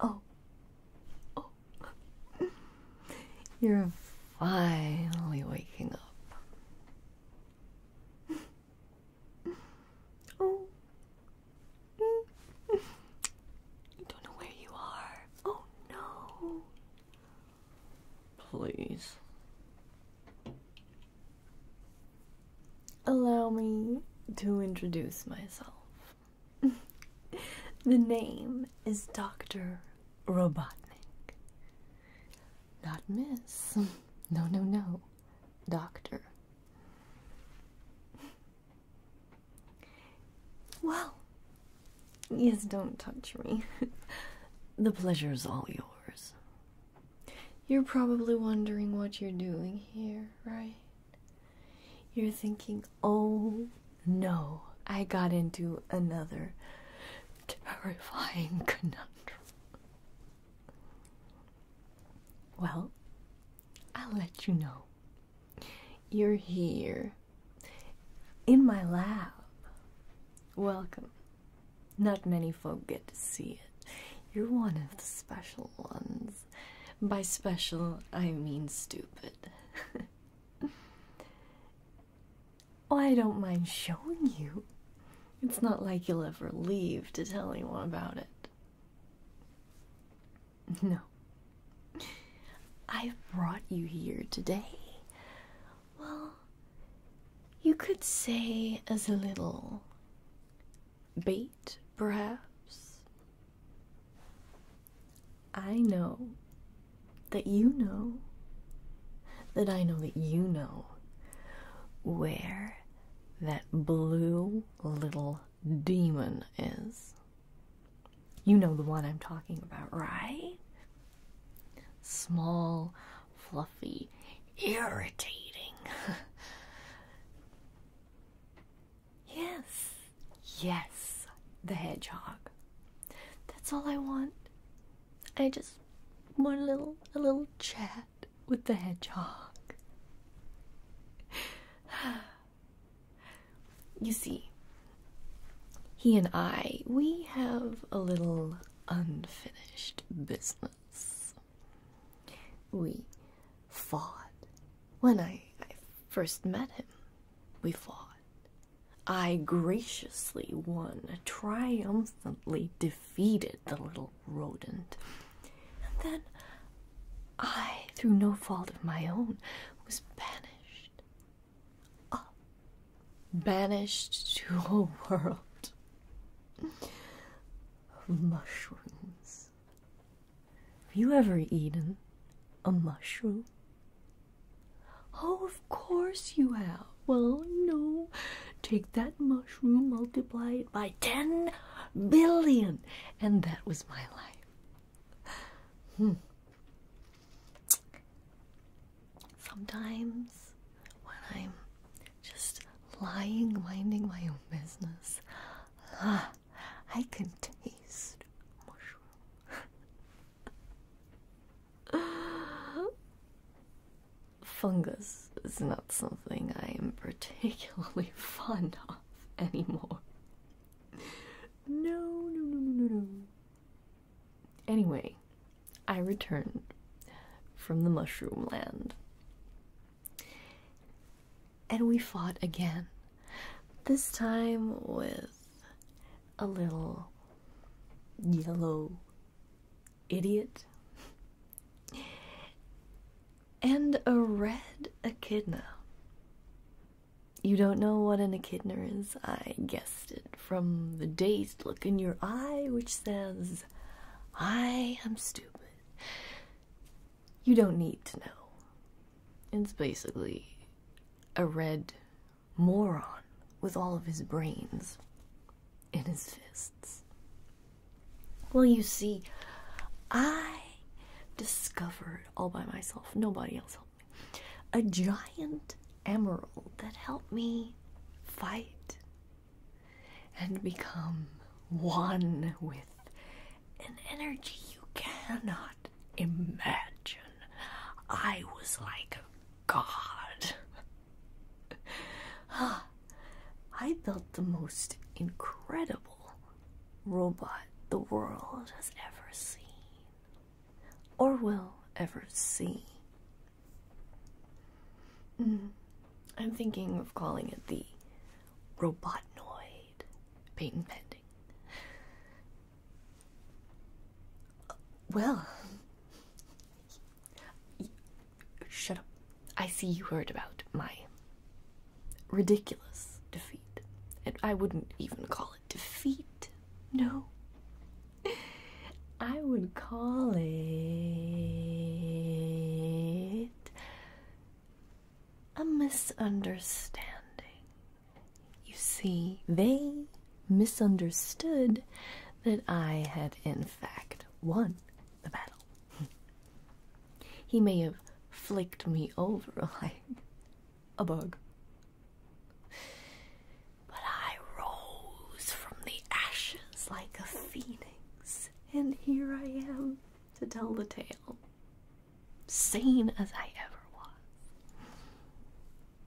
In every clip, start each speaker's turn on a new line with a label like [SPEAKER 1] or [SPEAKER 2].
[SPEAKER 1] Oh. Oh. You're finally waking up. Oh. I don't know where you are. Oh no. Please. Allow me to introduce myself. the name is Dr. Robotnik. Not Miss. No, no, no. Doctor. Well, yes, don't touch me. the pleasure is all yours. You're probably wondering what you're doing here, right? You're thinking, oh no, I got into another terrifying conundrum. Well, I'll let you know. You're here in my lab. Welcome. Not many folk get to see it. You're one of the special ones. By special, I mean stupid. Oh, I don't mind showing you. It's not like you'll ever leave to tell anyone about it. No. I've brought you here today. Well, you could say as a little bait, perhaps. I know that you know that I know that you know where that blue little demon is. You know the one I'm talking about, right? Small, fluffy, irritating. yes, yes, the hedgehog. That's all I want. I just want a little a little chat with the hedgehog. You see, he and I, we have a little unfinished business. We fought. When I, first met him, we fought. I graciously won, triumphantly defeated the little rodent. And then I, through no fault of my own, was banished. Oh, banished to a world of mushrooms. Have you ever eaten a mushroom? Oh, of course you have. Well, no. Take that mushroom, multiply it by 10 billion. And that was my life. Hmm. Sometimes when I'm just lying, minding my own business, ah, I can taste mushroom. Fungus is not something I am particularly fond of anymore no, no, no, no, no, no. Anyway, I returned from the mushroom land. And we fought again. This time with a little yellow idiot and a red echidna. You don't know what an echidna is? I guessed it from the dazed look in your eye, which says, I am stupid. You don't need to know. It's basically a red moron with all of his brains in his fists. Well, you see, I discovered all by myself. Nobody else helped me. A giant emerald that helped me fight and become one with an energy you cannot imagine. I was like a god. Ah, I felt the most incredible robot the world has ever seen or will ever see. Mm. I'm thinking of calling it the Robotoid, patent pending. well, shut up. I see you heard about my ridiculous defeat. I wouldn't even call it defeat. No. I would call it a misunderstanding. You see, they misunderstood that I had, in fact, won the battle. he may have flicked me over like a bug. But I rose from the ashes like a phoenix, and here I am to tell the tale, sane as I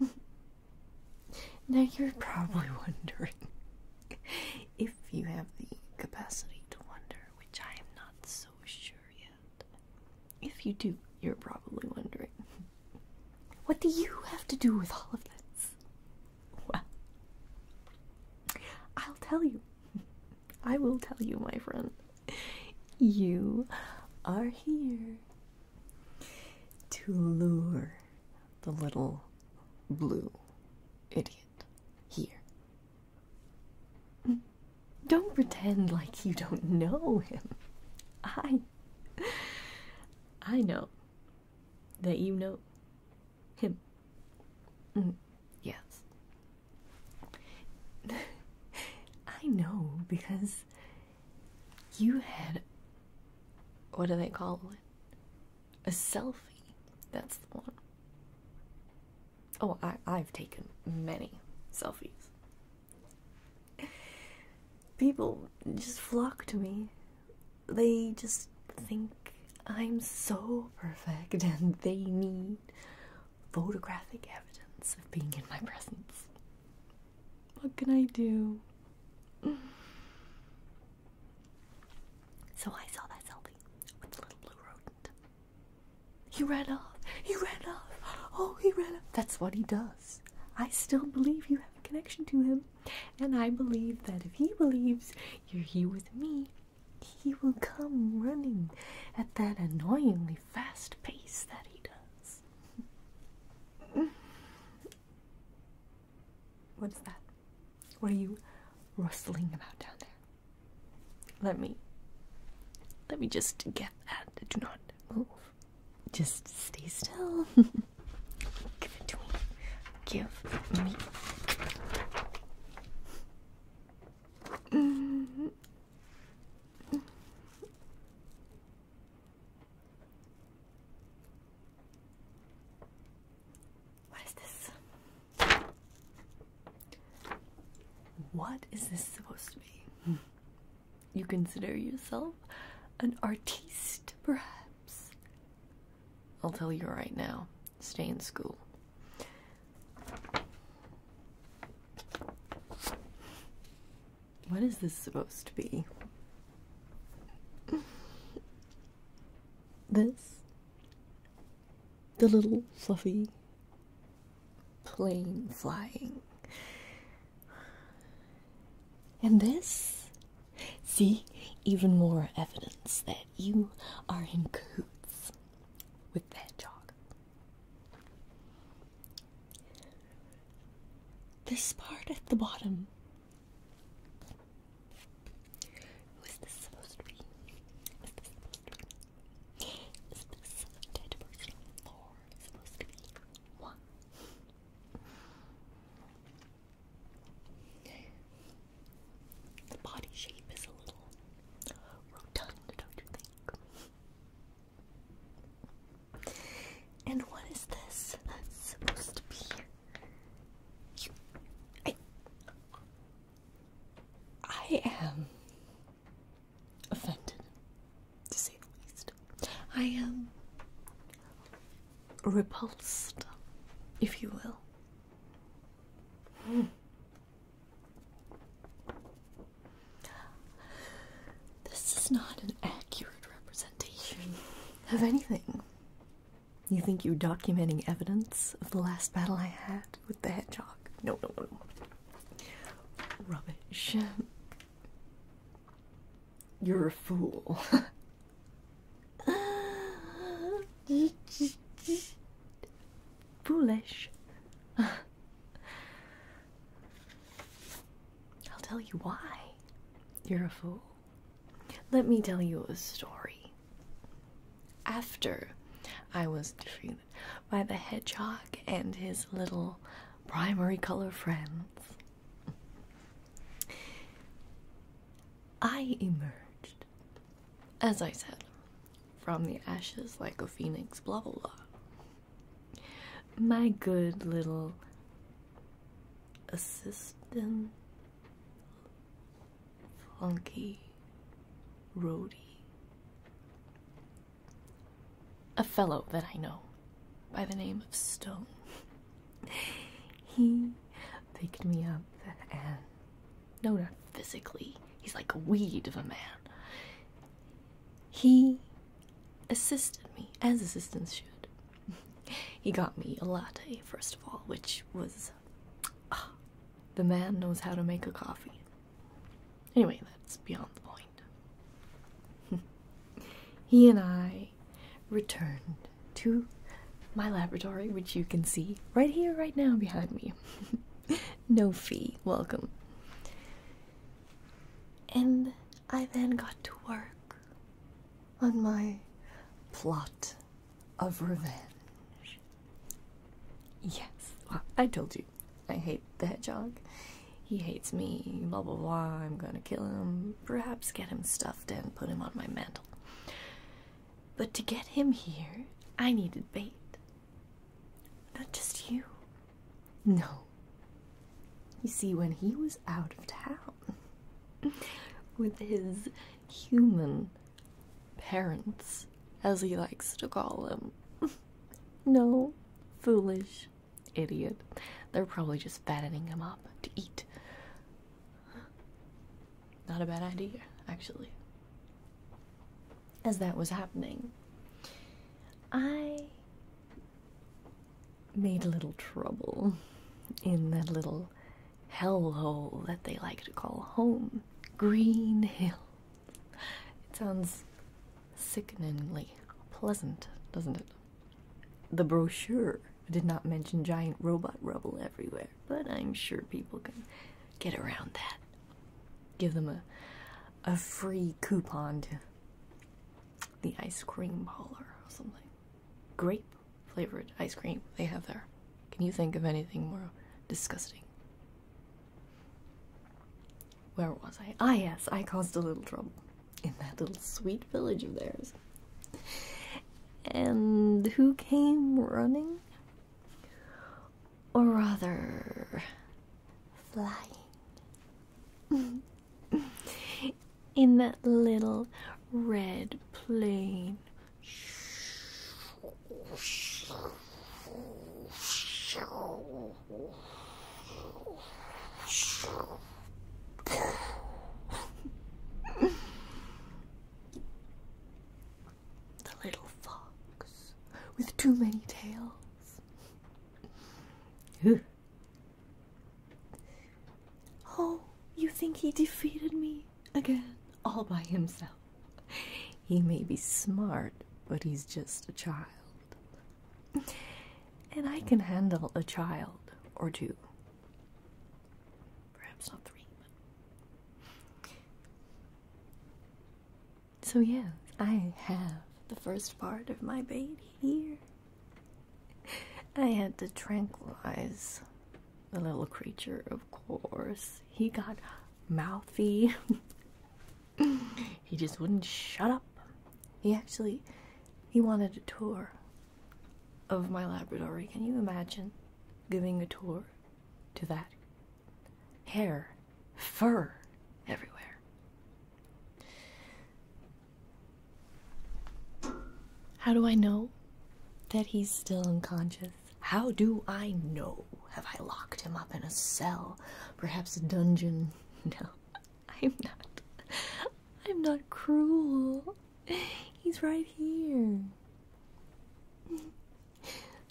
[SPEAKER 1] ever was. now you're probably wondering if you have the capacity to wonder, which I am not so sure yet. If you do, you're probably wondering, what do you have to do with all of this? Well, I'll tell you. I will tell you, my friend. You are here to lure the little blue idiot here. Don't pretend like you don't know him. I I know that you know him. Mm, yes. I know because you had what do they call it? A selfie. That's the one. Oh, I, have taken many selfies. People just flock to me. They just think I'm so perfect and they need photographic evidence of being in my presence. What can I do? So I saw that selfie with the little blue rodent. He ran off. He ran off. Oh, he ran off. That's what he does. I still believe you have a connection to him. And I believe that if he believes you're here with me, he will come running at that annoyingly fast pace that he does. What's that? What are you rustling about down there? Let me let me just get that. Do not move. Just stay still. Give it to me. Give me. Mm-hmm. What is this? What is this supposed to be? You consider yourself an artiste, perhaps? I'll tell you right now stay in school. What is this supposed to be? This? The little fluffy plane flying. And this? See, even more evidence that you are in cahoots with that dog. This part at the bottom. Who is this supposed to be? The body shape is a little rotund, don't you think? And what is this that's supposed to be? I, I am offended, to say the least. I am um, repulsed, if you will. Hmm. This is not an accurate representation of anything. You think you're documenting evidence of the last battle I had with the hedgehog? No, no, no. Rubbish. You're a fool. Foolish. I'll tell you why. You're a fool. Let me tell you a story. After I was defeated by the hedgehog and his little primary color friends. I emerged, as I said, from the ashes like a phoenix, blah blah blah. My good little assistant, funky, roadie, a fellow that I know by the name of Stone. he picked me up and no not physically. He's like a weed of a man. He assisted me, as assistants should. he got me a latte, first of all, which was. Uh, the man knows how to make a coffee. Anyway, that's beyond the point. he and I returned to my laboratory, which you can see right here, right now, behind me. no fee, welcome. And I then got to work on my plot of revenge. Yes, well, I told you. I hate the hedgehog. He hates me, blah blah blah. I'm gonna kill him, perhaps get him stuffed and put him on my mantle. But to get him here, I needed bait. Not just you. No. You see, when he was out of town with his human parents, as he likes to call them, no foolish Idiot. They're probably just fattening him up to eat. Not a bad idea, actually. As that was happening, I made a little trouble in that little hellhole that they like to call home. Green Hill. It sounds sickeningly pleasant, doesn't it? The brochure did not mention giant robot rubble everywhere, but I'm sure people can get around that. Give them a free coupon to the ice cream hauler or something. Grape flavored ice cream they have there. Can you think of anything more disgusting? Where was I? Ah, yes, I caused a little trouble in that little sweet village of theirs. And who came running? Or rather, flying. in that little red plane. the little fox with too many tails. oh, you think he defeated me again all by himself? He may be smart, but he's just a child and I can handle a child or two. Perhaps not three. So, yeah, I have the first part of my baby here. I had to tranquilize the little creature, of course. He got mouthy. he just wouldn't shut up. He actually he wanted a tour of my laboratory. Can you imagine giving a tour to that? Hair, fur everywhere. How do I know that he's still unconscious? How do I know? Have I locked him up in a cell? Perhaps a dungeon? No. I'm not. I'm not cruel. He's right here.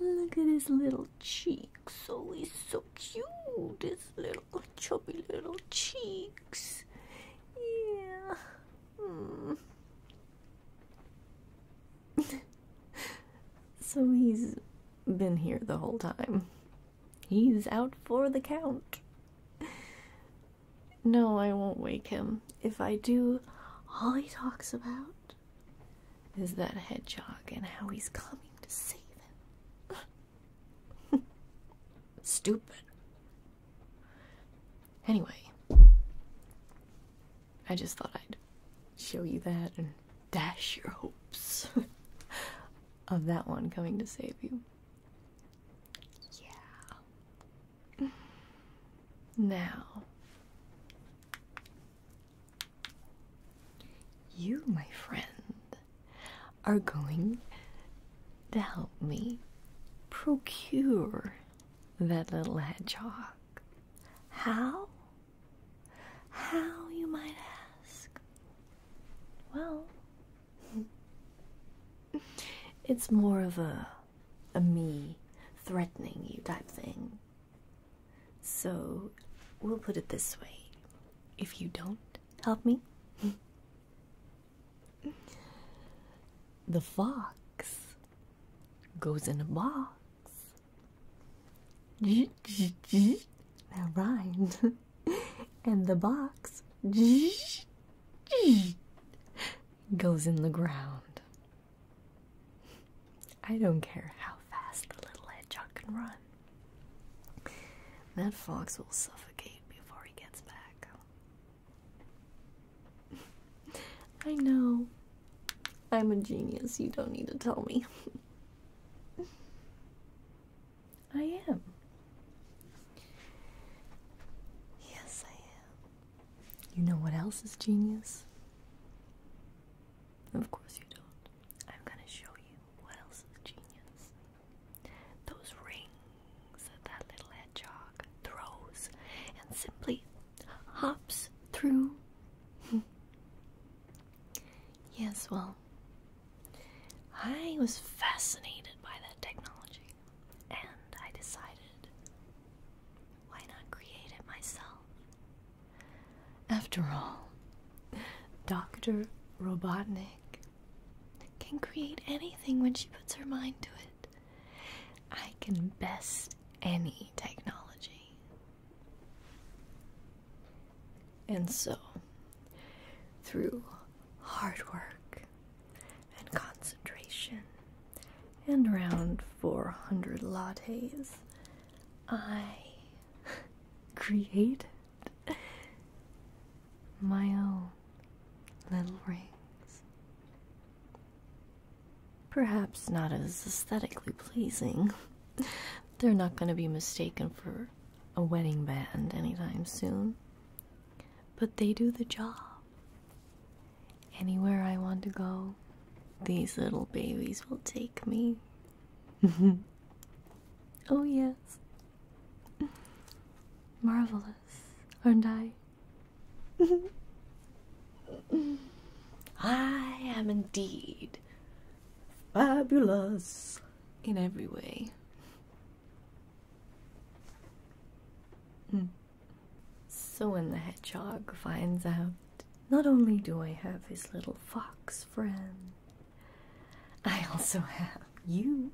[SPEAKER 1] Look at his little cheeks. Oh, he's so cute. His little chubby little cheeks. Yeah. Hmm. so he's been here the whole time. He's out for the count. No, I won't wake him. If I do, all he talks about is that hedgehog and how he's coming to save him. Stupid. Anyway, I just thought I'd show you that and dash your hopes. of that one coming to save you. Yeah. Now, you, my friend, are going to help me procure that little hedgehog. How? How, you might ask? Well, it's more of a a me threatening you type thing. So, we'll put it this way. If you don't help me, the fox goes in a box. that rhymes. and the box goes in the ground. I don't care how fast the little hedgehog can run. That fox will suffocate before he gets back. I know. I'm a genius. You don't need to tell me. I am. Yes, I am. You know what else is genius? Of course you don't. I'm gonna show you what else is genius. Those rings that that little hedgehog throws and simply hops through. yes, well, I was fascinated by that technology, and I decided why not create it myself? After all, Dr. Robotnik can create anything when she puts her mind to it. I can best any technology. And so, through hard work and concentration and around 400 lattes, I created my own little rings. Perhaps not as aesthetically pleasing. They're not going to be mistaken for a wedding band anytime soon, but they do the job. Anywhere I want to go, these little babies will take me. oh, yes. Marvelous, aren't I? I am indeed fabulous in every way. Hmm. So when the hedgehog finds out, not only do I have his little fox friend, I also have you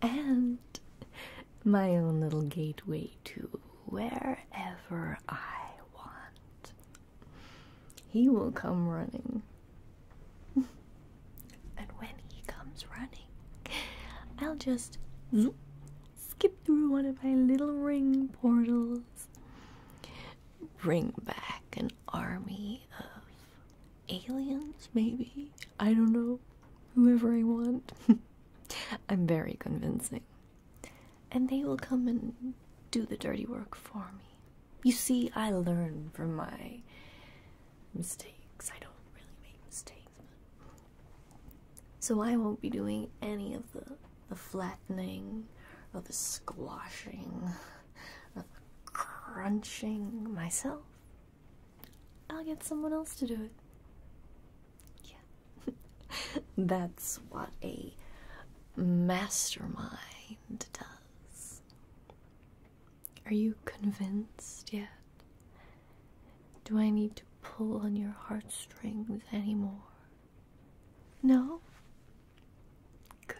[SPEAKER 1] and my own little gateway to wherever I want. He will come running and when he comes running, I'll just zoop, skip through one of my little ring portals, bring back an army of aliens, maybe? I don't know. Whoever I want. I'm very convincing. And they will come and do the dirty work for me. You see, I learn from my mistakes. I don't really make mistakes, so I won't be doing any of the the flattening, or the squashing, or the crunching myself. I'll get someone else to do it. Yeah. That's what a mastermind does. Are you convinced yet? Do I need to pull on your heartstrings anymore? No? Good.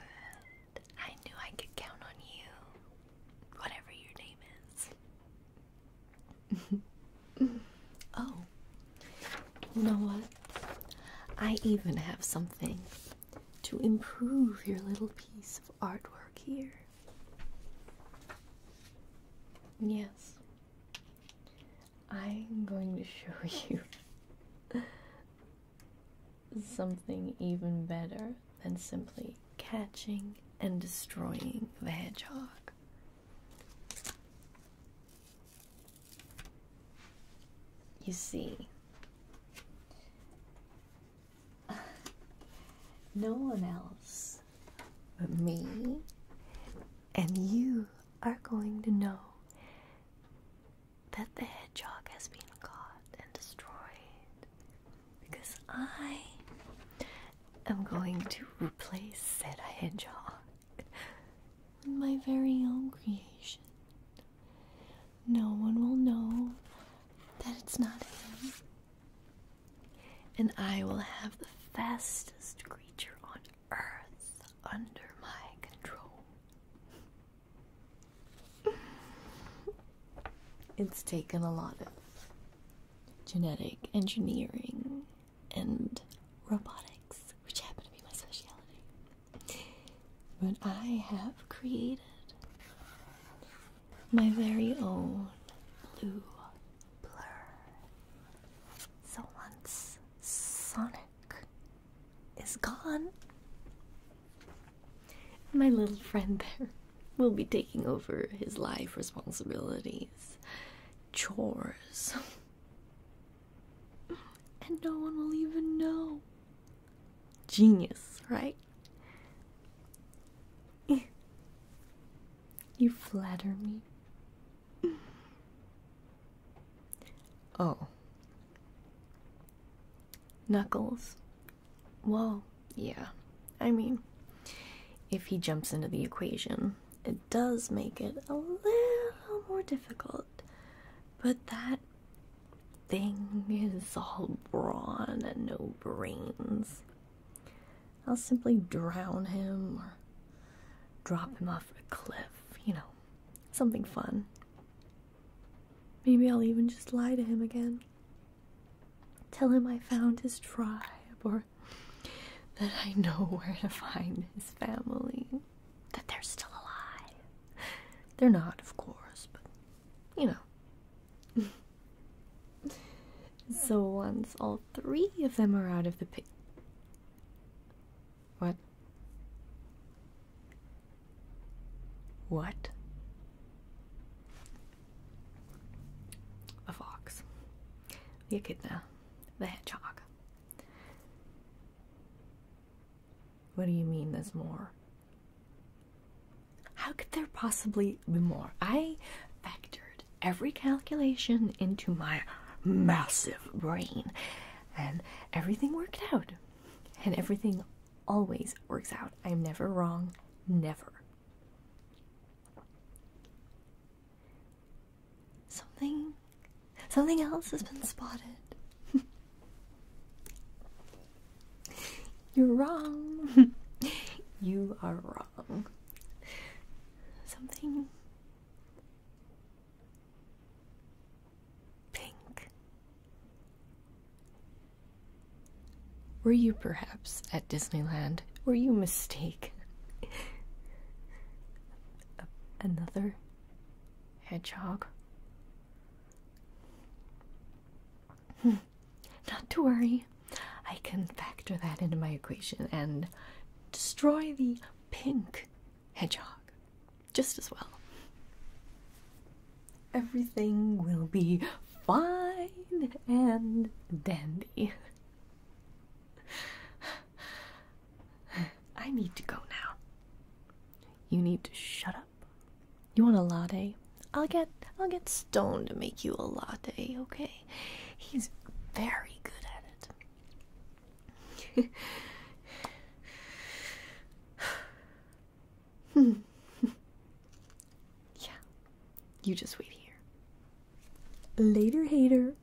[SPEAKER 1] I knew I could count on you. Whatever your name is. oh. You know what? I even have something to improve your little piece of artwork here. Yes, I'm going to show you something even better than simply catching and destroying the hedgehog. You see, no one else but me. And you are going to know that the hedgehog has been caught and destroyed because I am going to replace said hedgehog with my very own creation no one will know that it's not him. And I will have the fastest creature on earth under my control. it's taken a lot of genetic engineering and robotics, which happen to be my specialty. But I have created my very own blue blur. So once Sonic is gone, my little friend there will be taking over his life responsibilities, chores, and no one will even know Genius, right? you flatter me. Oh. Knuckles. Well, yeah. I mean, if he jumps into the equation, it does make it a little more difficult. But that thing is all brawn and no brains. I'll simply drown him or drop him off a cliff, you know, something fun. Maybe I'll even just lie to him again. Tell him I found his tribe or that I know where to find his family. That they're still alive. They're not, of course, but you know, so once all three of them are out of the pit, What? What? A fox. The echidna. The hedgehog. What do you mean there's more? How could there possibly be more? I factored every calculation into my massive brain, and everything worked out. And everything always works out. I'm never wrong, never. Something something else has been spotted. You're wrong. you are wrong. Something pink. Were you perhaps at Disneyland? Were you mistaken? Another hedgehog. Not to worry, I can factor that into my equation and destroy the pink hedgehog just as well. Everything will be fine and dandy. I need to go now. You need to shut up you want a latte? I'll get I'll get Stone to make you a latte, okay? He's very good at it. yeah. You just wait here. Later, hater.